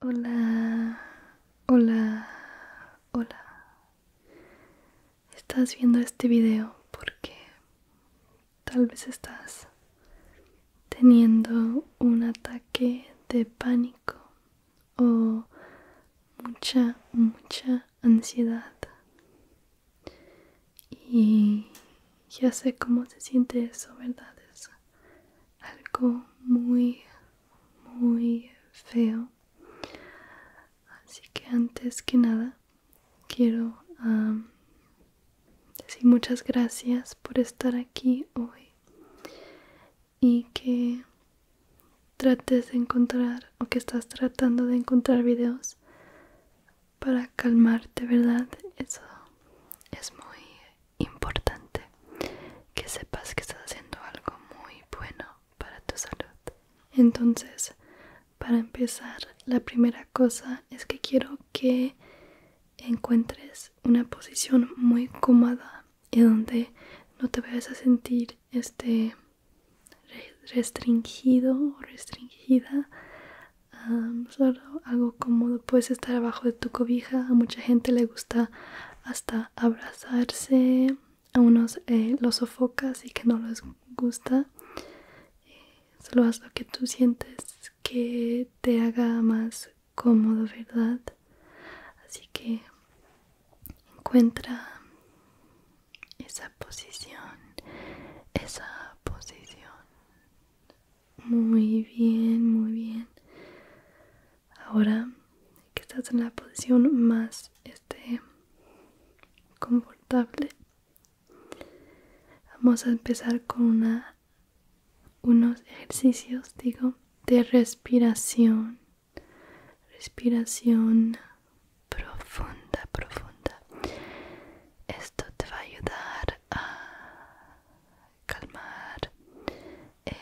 Hola, hola, hola. Estás viendo este video porque tal vez estás teniendo un ataque de pánico o mucha, mucha ansiedad. Y ya sé cómo se siente eso, ¿verdad? Es algo muy muy feo así que antes que nada quiero decir muchas gracias por estar aquí hoy y que trates de encontrar o que estás tratando de encontrar videos para calmarte verdad eso es muy importante que sepas que estás haciendo algo muy bueno para tu salud. Entonces, para empezar, la primera cosa es que quiero que encuentres una posición muy cómoda y donde no te vayas a sentir este restringido o restringida solo algo cómodo puedes estar abajo de tu cobija a mucha gente le gusta hasta abrazarse a unos eh, los sofocas y que no les gusta eh, solo haz lo que tú sientes que te haga más cómodo verdad así que encuentra esa posición esa posición muy bien muy bien ahora que estás en la posición más este, confortable vamos a empezar con unos ejercicios digo de respiración respiración profunda profunda esto te va a ayudar a calmar eh,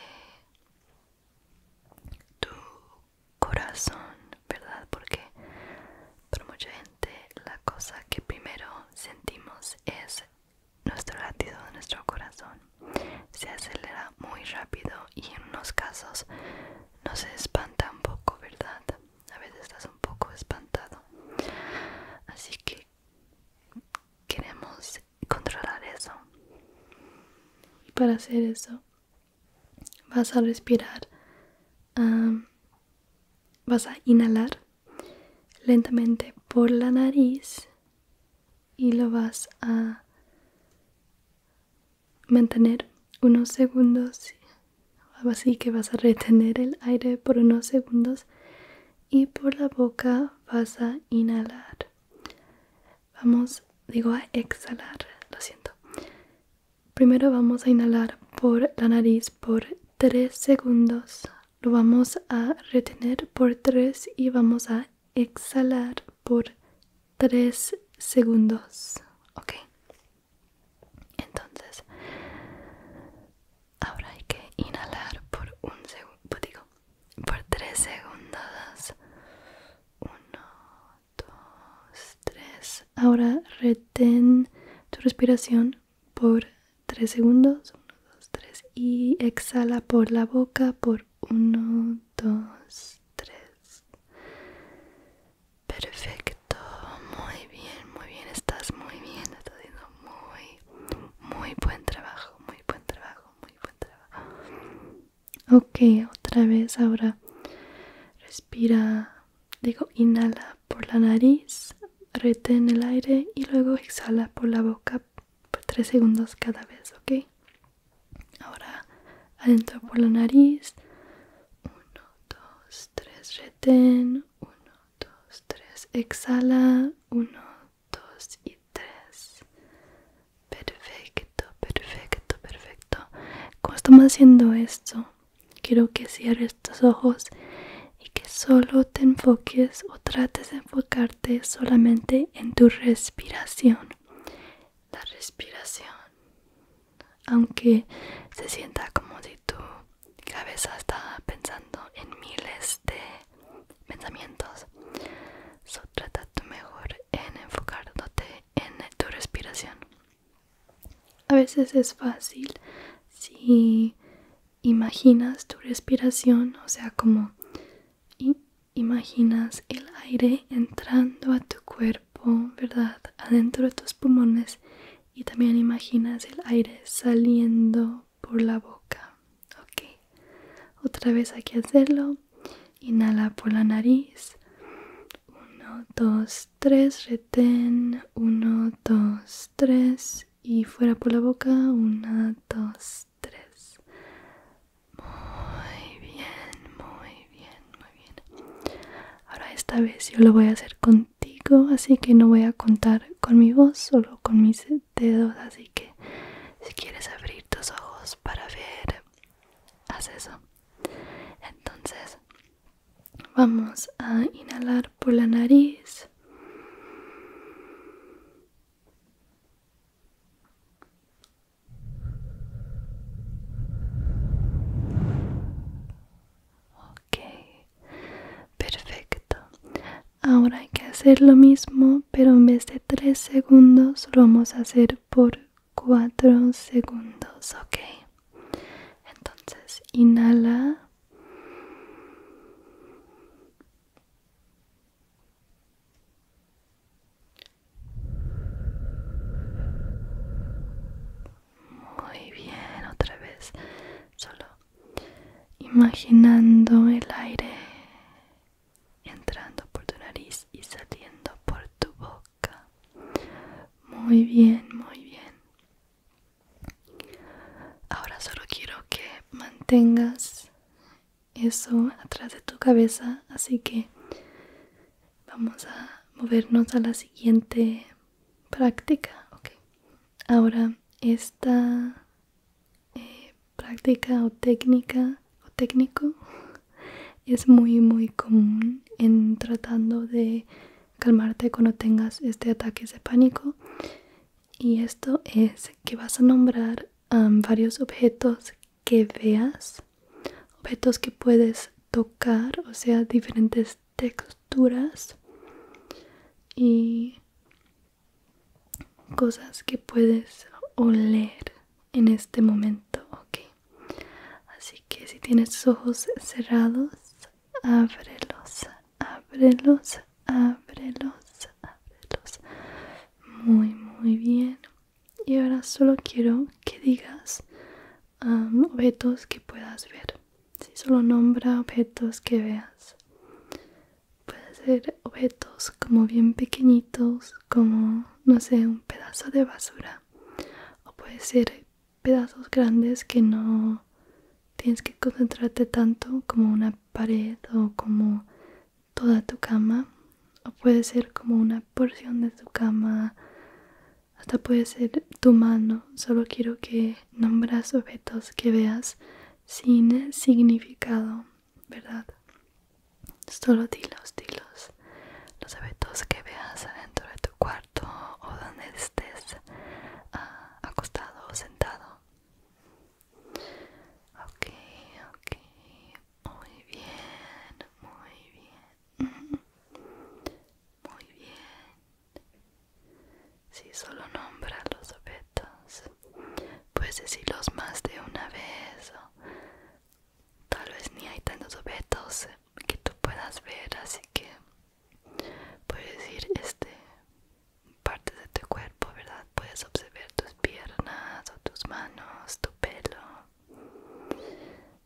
tu corazón, ¿verdad? Porque para mucha gente la cosa que primero sentimos es nuestro latido de nuestro corazón. Se acelera muy rápido y en unos casos nos espanta un poco, ¿verdad? A veces estás un poco espantado. Así que queremos controlar eso. Y para hacer eso, vas a respirar, vas a inhalar lentamente por la nariz y lo vas a mantener unos segundos así que vas a retener el aire por unos segundos y por la boca vas a inhalar vamos digo a exhalar lo siento primero vamos a inhalar por la nariz por 3 segundos lo vamos a retener por 3 y vamos a exhalar por 3 segundos ok entonces ahora hay que inhalar por un segundo digo por tres segundos 1 2 3 ahora reten tu respiración por 3 segundos 1 2 3 y exhala por la boca por 1 2 3 perfecto muy bien muy bien estás muy bien estás haciendo muy muy buen trabajo muy buen trabajo muy trabajo Ok, otra vez ahora respira, digo, inhala por la nariz, reten el aire y luego exhala por la boca por tres segundos cada vez, ok. Ahora adentro por la nariz, uno, dos, tres, retén, uno, dos, tres, exhala, uno dos y tres. Perfecto, perfecto, perfecto. Como estamos haciendo esto, quiero que cierres tus ojos y que solo te enfoques o trates de enfocarte solamente en tu respiración. La respiración. Aunque se sienta como si tu cabeza está pensando en miles de pensamientos. So, trata tu mejor en enfocándote en tu respiración. A veces es fácil si imaginas tu respiración, o sea, como imaginas el aire entrando a tu cuerpo, ¿verdad? Adentro de tus pulmones y también imaginas el aire saliendo por la boca, ok otra vez hay que hacerlo inhala por la nariz 1 2 3 retén 1 2 3 y fuera por la boca 1 2 3 muy bien muy bien muy bien ahora esta vez yo lo voy a hacer contigo así que no voy a contar con mi voz solo con mi sed dedos así que si quieres abrir tus ojos para ver haz eso entonces vamos a inhalar por la nariz Ok, perfecto. Ahora hay que hacer lo mismo, pero en vez de tres segundos lo vamos a hacer por cuatro segundos, ¿ok? Entonces, inhala. Muy bien, otra vez, solo imaginando el aire entrando por tu nariz y saliendo por tu boca. Muy bien, muy bien. Ahora solo quiero que mantengas eso atrás de tu cabeza, así que vamos a movernos a la siguiente práctica. Okay. Ahora esta práctica o técnica o técnico es muy muy común en tratando de calmarte cuando tengas este ataque de pánico y esto es que vas a nombrar um, varios objetos que veas objetos que puedes tocar o sea diferentes texturas y cosas que puedes oler en este momento, ok. Así que si tienes ojos cerrados, ábrelos, ábrelos, ábrelos, ábrelos. Muy, muy bien. Y ahora solo quiero que digas um, objetos que puedas ver. Si solo nombra objetos que veas puede ser objetos como bien pequeñitos, como, no sé, un pedazo de basura. O puede ser pedazos grandes que no tienes que concentrarte tanto como una pared o como toda tu cama. O puede ser como una porción de tu cama. Hasta puede ser tu mano. Solo quiero que nombras objetos que veas sin significado ¿verdad? Solo dilos, dilos. Los objetos que veas adentro de tu cuarto o donde estés ah, acostado o sentado. Ok, ok. Muy bien, muy bien. Muy bien. Si, solo nombra los objetos. Puedes decirlos más de una vez. O tal vez ni hay tantos objetos que tú puedas ver, así que puedes decir este partes de tu cuerpo, ¿verdad? Puedes observar tus piernas o tus manos, tu pelo.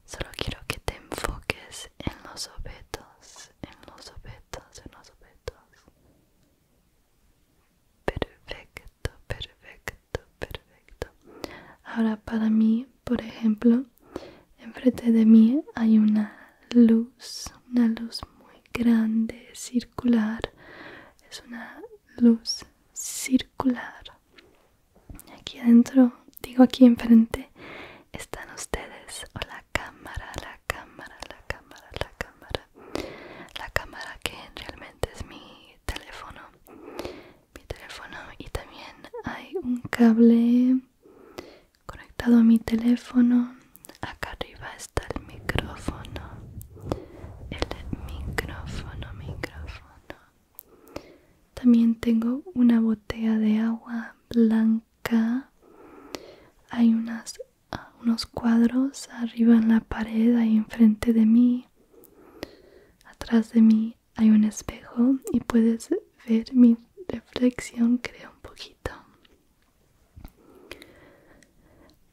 Solo quiero que te enfoques en los objetos, en los objetos, en los objetos. Perfecto, perfecto, perfecto. Ahora para mí, por ejemplo, enfrente de mí hay una luz, una luz muy grande, circular. Es una luz circular. Aquí adentro, digo aquí enfrente, están ustedes o la cámara, la cámara, la cámara, la cámara. La cámara que realmente es mi teléfono mi teléfono y también hay un cable conectado a mi teléfono acá arriba está el micrófono el micrófono micrófono también tengo una botella de agua blanca hay unas, ah, unos cuadros arriba en la pared ahí enfrente de mí Atrás de mí hay un espejo y puedes ver mi reflexión, creo, un poquito.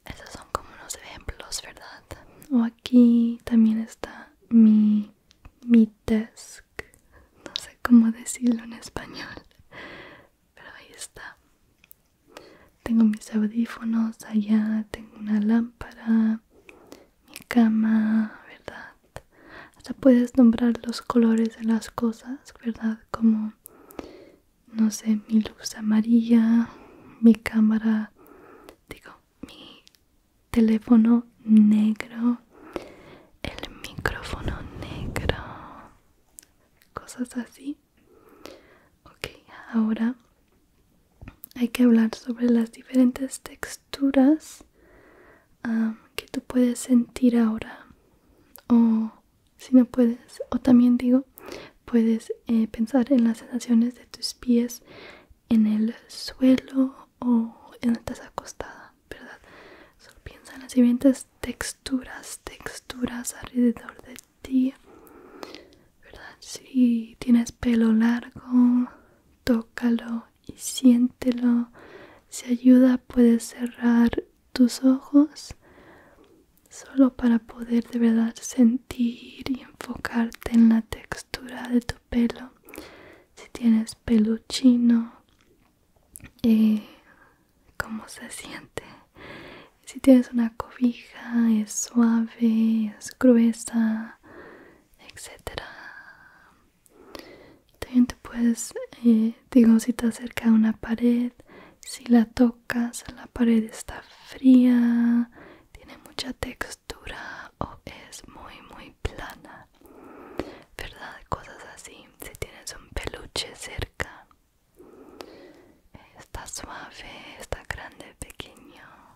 Esos son como unos ejemplos, ¿verdad? O aquí también está mi, mi desk. No sé cómo decirlo en español, pero ahí está tengo mis audífonos allá tengo una lámpara mi cama verdad hasta puedes nombrar los colores de las cosas verdad como no sé mi luz amarilla mi cámara digo mi teléfono negro el micrófono negro cosas así ok ahora hay que hablar sobre las diferentes texturas que tú puedes sentir ahora o si no puedes o también digo puedes eh, pensar en las sensaciones de tus pies en el suelo o en la taza acostada verdad solo piensa en las diferentes texturas texturas alrededor de si tienes pelo largo, tócalo y siéntelo. Si ayuda, puedes cerrar tus ojos solo para poder de verdad sentir y enfocarte en la textura de tu pelo. Si tienes pelo chino, eh, cómo se siente. Si tienes una cobija, es suave, gruesa, etcétera. También pues puedes, eh, digo, si te acerca a una pared, si la tocas, la pared está fría, tiene mucha textura o es muy, muy plana, ¿verdad? Cosas así. Si tienes un peluche cerca, está suave, está grande, pequeño.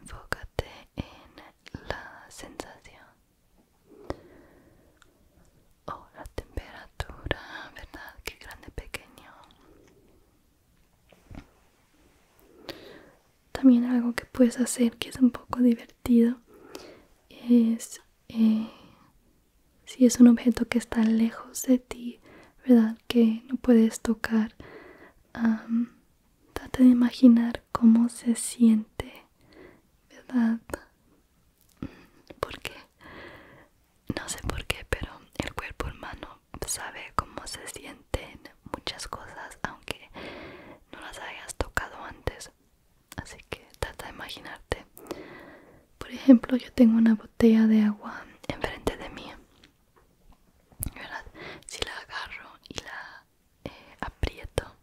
Enfócate en la sensación o la temperatura, ¿verdad? Qué grande, pequeño. También algo que puedes hacer que es un poco divertido es eh, si es un objeto que está lejos de ti, ¿verdad? que no puedes tocar, trate trata de imaginar cómo se siente, ¿verdad? Porque, no sé por qué, pero el cuerpo humano sabe cómo se sienten muchas cosas, aunque no las hayas tocado antes. Así que trata de imaginarte. Por ejemplo, yo tengo una botella de agua enfrente de mí si la agarro y la eh, aprieto,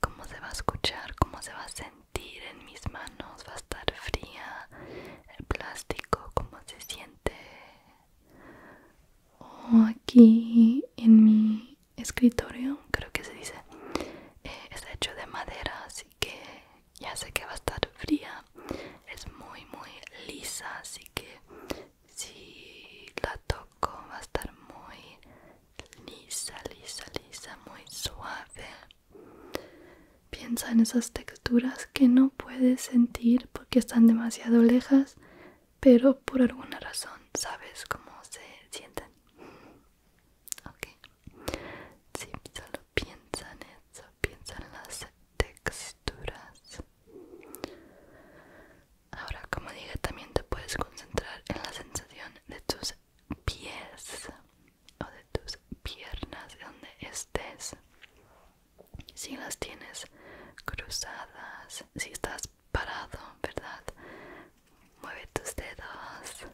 cómo se va a escuchar, cómo se va a sentir en mis manos, va a estar fría, el plástico, cómo se siente. aquí en mi escritorio, creo que se dice, eh, está hecho de madera, así que ya sé que va a estar fría es muy muy lisa así que si la toco va a estar muy lisa lisa lisa muy suave piensa en esas texturas que no puedes sentir porque están demasiado lejas pero por alguna razón sabes cómo se sienten ok Si solo piensa en eso piensa en las texturas. Ahora, como dije, también te puedes concentrar en la sensación de tus pies o de tus piernas, donde estés. Si las tienes cruzadas, si estás parado, ¿verdad? Mueve tus dedos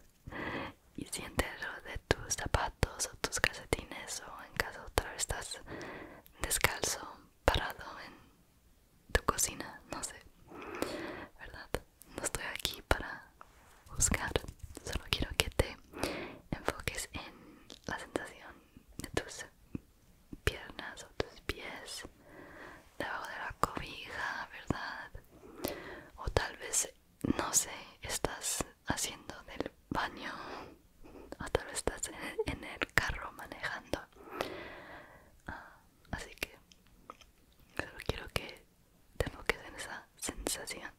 y siente de tus zapatos o tus calcetines o en casa otra vez estás descalzo parado en tu cocina no sé verdad no estoy aquí para buscar solo quiero que te enfoques en la sensación de tus piernas o tus pies debajo de la cobija verdad o tal vez no sé estás haciendo del baño hasta lo estás en el, carro manejando ah, así que quiero que te enfoques en esa sensación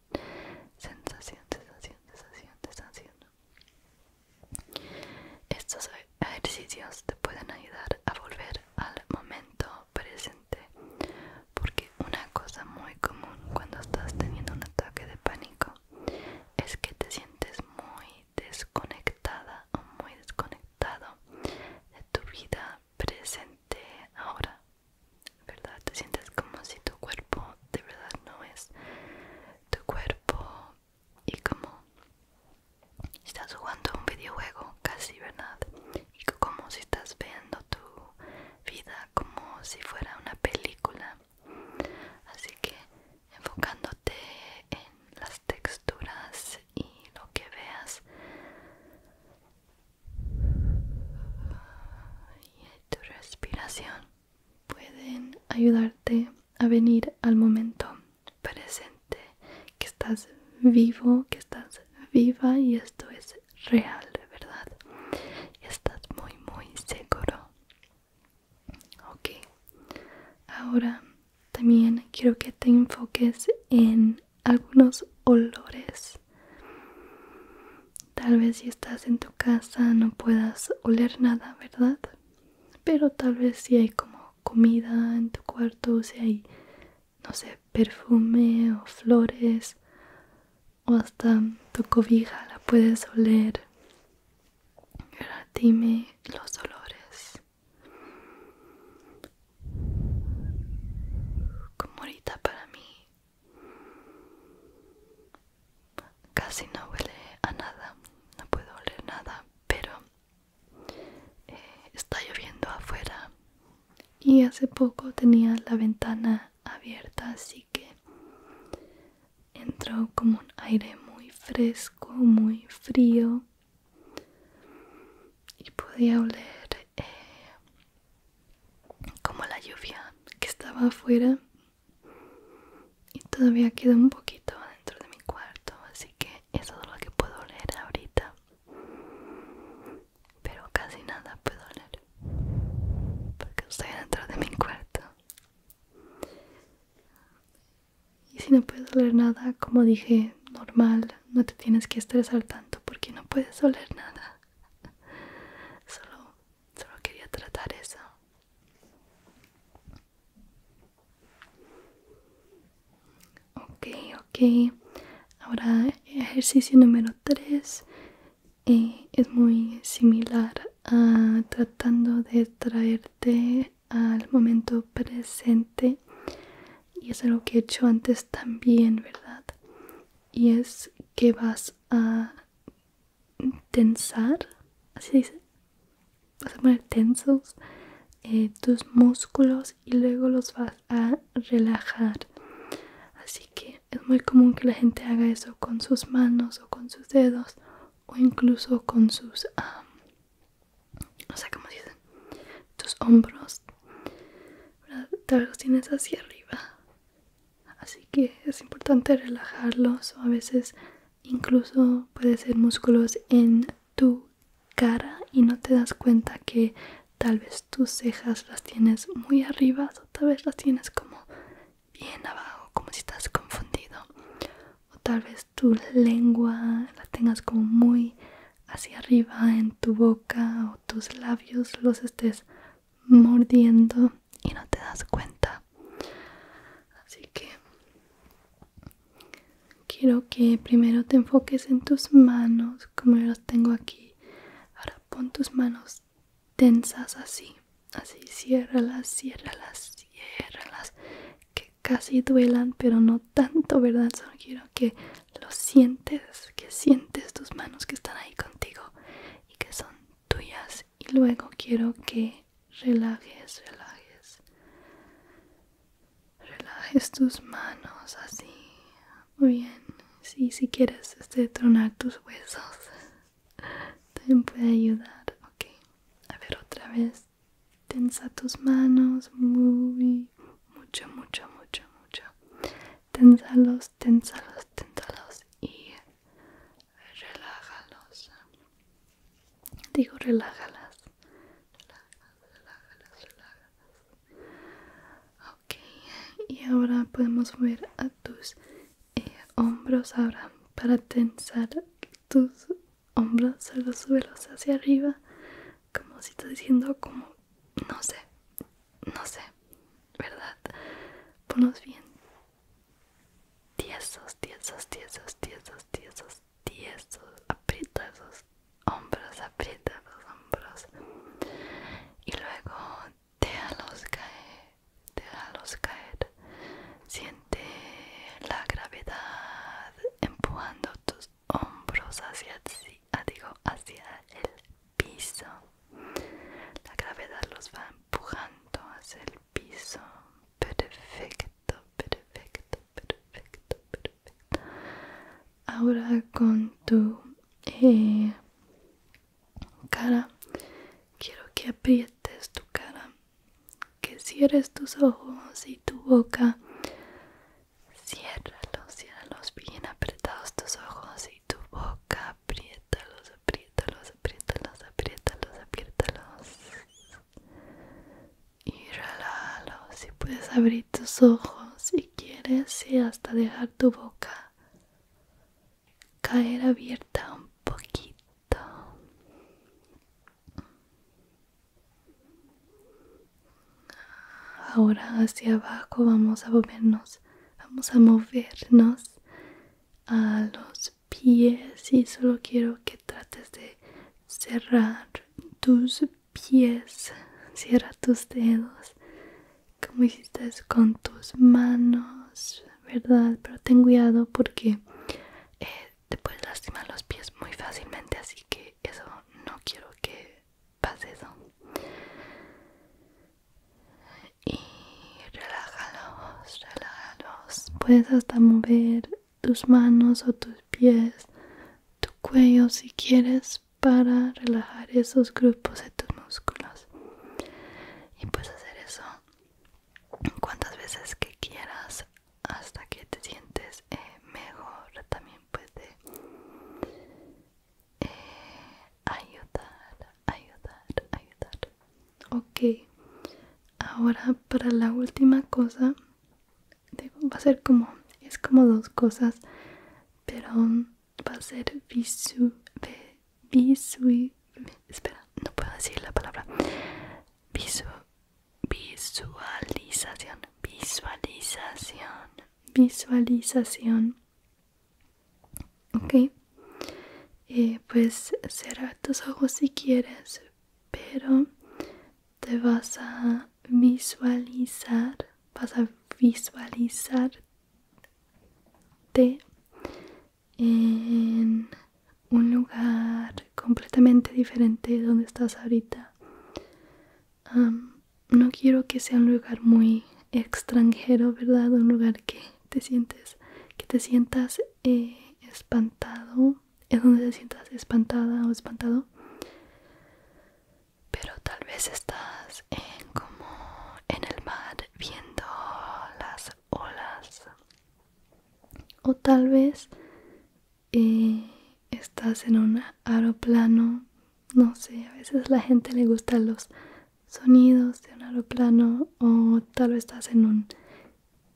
sensación sensación sensación sensación estos ejercicios te pueden ayudar a volver al momento presente porque una cosa muy común cuando estás teniendo un ataque de pánico es que te sientes muy desconectada o muy desconectado de tu vida presente ahora, ¿verdad? Te sientes como si tu cuerpo de verdad no es tu cuerpo y como si estás jugando un videojuego casi, ¿verdad? Y como si estás viendo tu vida como si fuera una película así que enfocándote en las texturas y lo que veas y tu respiración pueden ayudarte a venir al momento presente que estás vivo que estás viva y esto es real de verdad y estás muy muy seguro Ok, ahora también quiero que te enfoques en algunos olores. Tal vez si estás en tu casa no puedas oler nada, ¿verdad? Pero tal vez si hay como comida en tu cuarto, o si hay, no sé, perfume o flores o hasta tu cobija la puedes oler. Ahora dime los olores. Como ahorita para mí casi no huele a nada, no puedo oler nada, pero eh, está lloviendo afuera y hace poco tenía la ventana abierta así que entró como un aire muy fresco, muy frío y podía oler eh, como la lluvia que estaba afuera y todavía queda un poquito adentro de mi cuarto así que eso es lo que puedo oler ahorita pero casi nada puedo oler porque estoy dentro de mi cuarto y si no puedes oler nada, como dije, normal, no te tienes que estresar tanto porque no puedes oler nada. Solo, solo quería tratar eso. Ok, ok. Ahora ejercicio número 3 es muy similar a tratando de traerte al momento presente y es algo que he hecho antes también verdad y es que vas a tensar así dice vas a poner tensos eh, tus músculos y luego los vas a relajar así que es muy común que la gente haga eso con sus manos o con sus dedos o incluso con sus, o sea, como dicen, tus hombros. tal vez los tienes hacia arriba. Así que es importante relajarlos o a veces incluso puede ser músculos en tu cara y no te das cuenta que tal vez tus cejas las tienes muy arriba o tal vez las tienes como bien abajo como si estás confundido o tal vez tu lengua la tengas como muy hacia arriba en tu boca o tus labios los estés mordiendo y no te das cuenta así que quiero que primero te enfoques en tus manos como yo las tengo aquí ahora pon tus manos tensas así, así, las cierra, las que casi duelan, pero no tanto, ¿verdad? Solo quiero que lo sientes, que sientes tus manos que están ahí contigo y que son tuyas. Y luego quiero que relajes, relajes, relajes tus manos así, muy bien. Sí, si quieres este, tronar tus huesos también puede ayudar ok a ver otra vez tensa tus manos muy mucho mucho mucho mucho los, tensalos tensalos y relájalos digo relájalas relájalas relájalas relájalas ok y ahora podemos mover a tus hombros ahora para tensar tus hombros solo suelos hacia arriba como si estás diciendo como no sé no sé verdad ponlos bien tiesos tiesos tiesos tiesos tiesos tiesos aprieta esos hombros aprieta los hombros y luego déjalos caer, déjalos caer. Siente la gravedad empujando tus hombros hacia, ah, digo, hacia el piso. La gravedad los va empujando hacia el piso. Perfecto, perfecto, perfecto, perfecto. Ahora con tu eh, cara quiero que aprietes tu cara que cierres tus ojos y tu boca ciérralos ciérralos bien apretados tus ojos y tu boca apriétalos apriétalos apriétalos apriétalos apriétalos y si puedes abrir tus ojos si quieres y hasta dejar tu boca caer abierta un poquito ahora hacia abajo vamos a movernos vamos a movernos a los pies y solo quiero que trates de cerrar tus pies cierra tus dedos como hiciste con tus manos verdad pero ten cuidado porque eh, te puedes lastimar los pies muy fácilmente así que eso no quiero que pase eso y relájalos relájalos puedes hasta mover tus manos o tus pies tu cuello si quieres para relajar esos grupos de tus músculos y puedes hacer eso cuantas veces que quieras hasta que te sientes eh, mejor también puede eh, ayudar ayudar ayudar ok ahora para la última cosa va a ser como es como dos cosas pero va a ser visu, Visu... Espera, no puedo decir la palabra. visualización. Visualización. Visualización. Ok. Eh, pues cerrar tus ojos si quieres, pero te vas a visualizar, vas a visualizar te en un lugar completamente diferente de donde estás ahorita. no quiero que sea un lugar muy extranjero, ¿verdad? Un lugar que te sientes, que te sientas eh, espantado, es donde te sientas espantada o espantado. Pero tal vez estás en como en el mar viendo las olas o tal vez eh, estás en un aeroplano no sé a veces a la gente le gustan los sonidos de un aeroplano o tal vez estás en un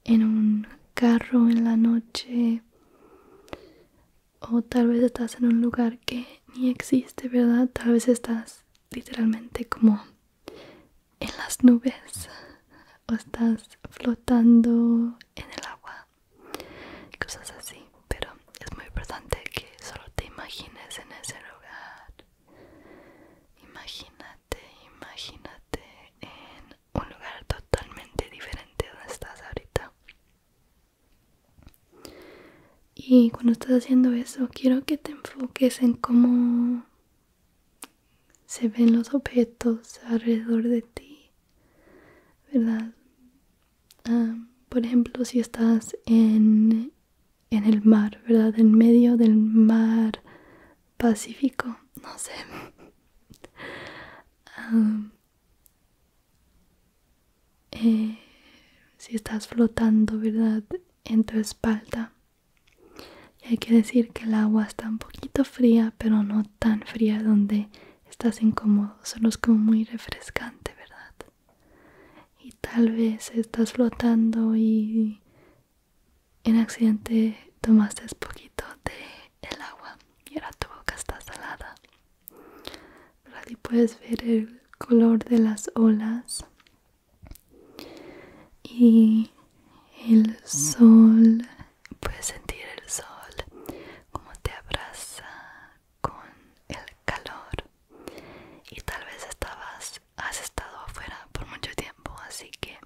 en un carro en la noche o tal vez estás en un lugar que ni existe verdad tal vez estás literalmente como en las nubes o estás flotando en el agua cosas así pero es muy importante que solo te imagines en ese lugar imagínate imagínate en un lugar totalmente diferente donde estás ahorita y cuando estás haciendo eso quiero que te enfoques en cómo se ven los objetos alrededor de ti, ¿verdad? Ah, por ejemplo, si estás en, en el mar, ¿verdad? En medio del mar Pacífico, no sé. Ah, eh, si estás flotando, ¿verdad? En tu espalda y hay que decir que el agua está un poquito fría, pero no tan fría donde estás incómodo, solo es como muy refrescante, ¿verdad? Y tal vez estás flotando y en accidente tomaste un poquito de el agua y ahora tu boca está salada. Pero puedes ver el color de las olas y el sol puedes sentir el sol como te abraza con el calor y tal vez estabas has estado afuera por mucho tiempo así que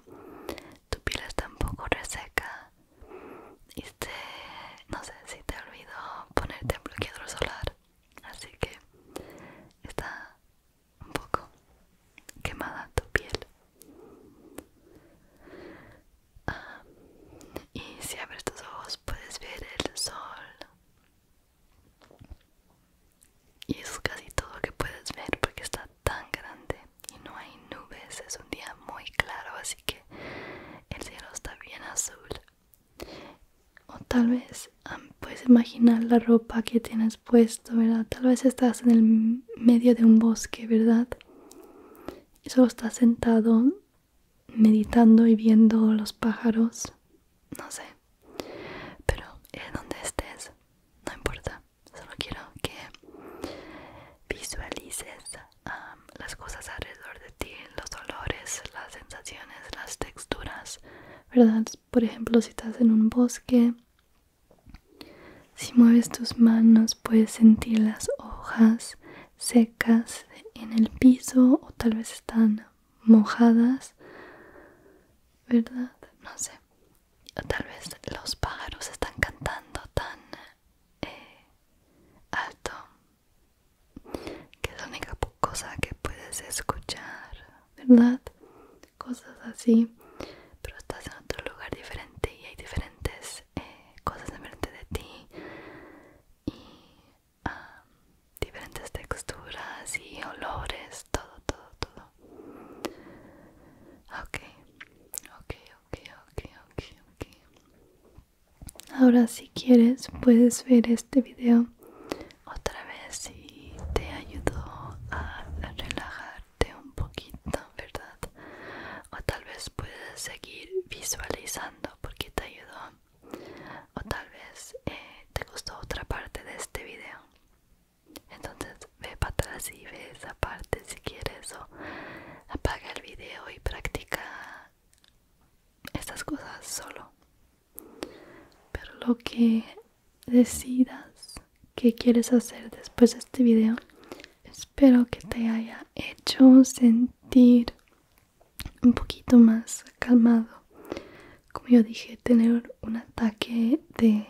tu piel está un poco reseca y no sé si te olvidó ponerte bloqueador solar así que está un poco quemada tu piel. Ah, y si abres tus ojos puedes ver el sol. Y eso es casi todo lo que puedes ver porque está tan grande y no hay nubes. Es un día muy claro, así que el cielo está bien azul. O tal vez ah, puedes imaginar la ropa que tienes puesto, ¿verdad? Tal vez estás en el medio de un bosque, ¿verdad? Y solo estás sentado meditando y viendo los pájaros. No sé. Pero es eh, donde estés, no importa. Solo quiero que visualices las cosas alrededor de ti, los olores, las sensaciones, las texturas, ¿verdad? Por ejemplo, si estás en un bosque si mueves tus manos puedes sentir las hojas secas en el piso o tal vez están mojadas, ¿verdad? No sé. O tal vez los pájaros están cantando tan eh, alto que es la única cosa que puedes escuchar. ¿verdad? Cosas así, pero estás en otro lugar diferente y hay diferentes eh, cosas diferentes de ti y diferentes texturas y olores, todo, todo, todo. Ok, ok, ok, ok, ok, Ahora si quieres puedes ver este video otra vez y te ayudo a relajar un poquito, ¿verdad? O tal vez puedes seguir visualizando porque te ayudó. O tal vez eh, te gustó otra parte de este video. Entonces ve para atrás y ve esa parte si quieres o apaga el video y practica estas cosas solo. Pero lo que decidas qué quieres hacer después de este video. Espero que te haya hecho sentir un poquito más calmado. Como yo dije, tener un ataque de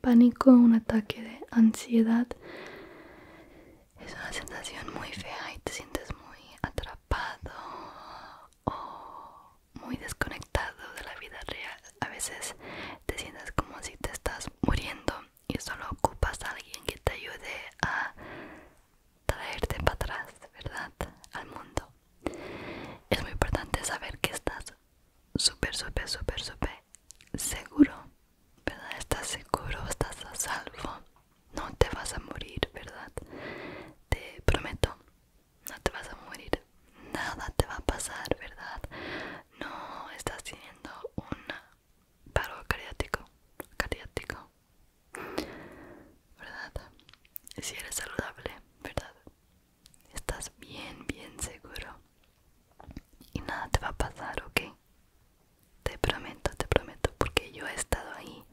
pánico, un ataque de ansiedad es una sensación muy fea y te sientes muy atrapado o muy desconectado de la vida real. A veces te sientes como si te estás muriendo y solo ocupas a alguien que te ayude a traerte para atrás, ¿verdad? Al mundo. Es muy importante saber que estás súper, súper, súper, súper seguro, ¿verdad? Estás seguro, estás a salvo. No te vas a morir, ¿verdad? Te prometo, no te vas a morir nada te va a pasar, ¿verdad? No estás teniendo un paro cardíaco, cardíaco, ¿verdad? Si eres saludable, ¿verdad? Estás bien, bien seguro y nada te va a pasar, ¿ok? Te prometo, te prometo, porque yo he estado ahí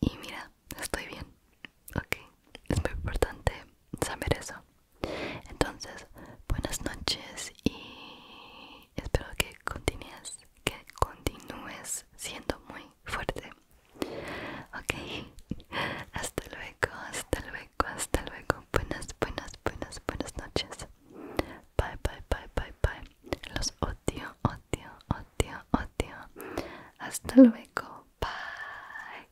y mira, estoy bien, ¿ok? Es muy importante saber eso. Entonces, buenas noches y espero que continúes, que continúes siendo muy fuerte. Ok, hasta luego, hasta luego, hasta luego. Buenas, buenas, buenas, buenas noches. Bye, bye, bye, bye, bye. Los odio, odio, odio, odio. Hasta luego. Bye.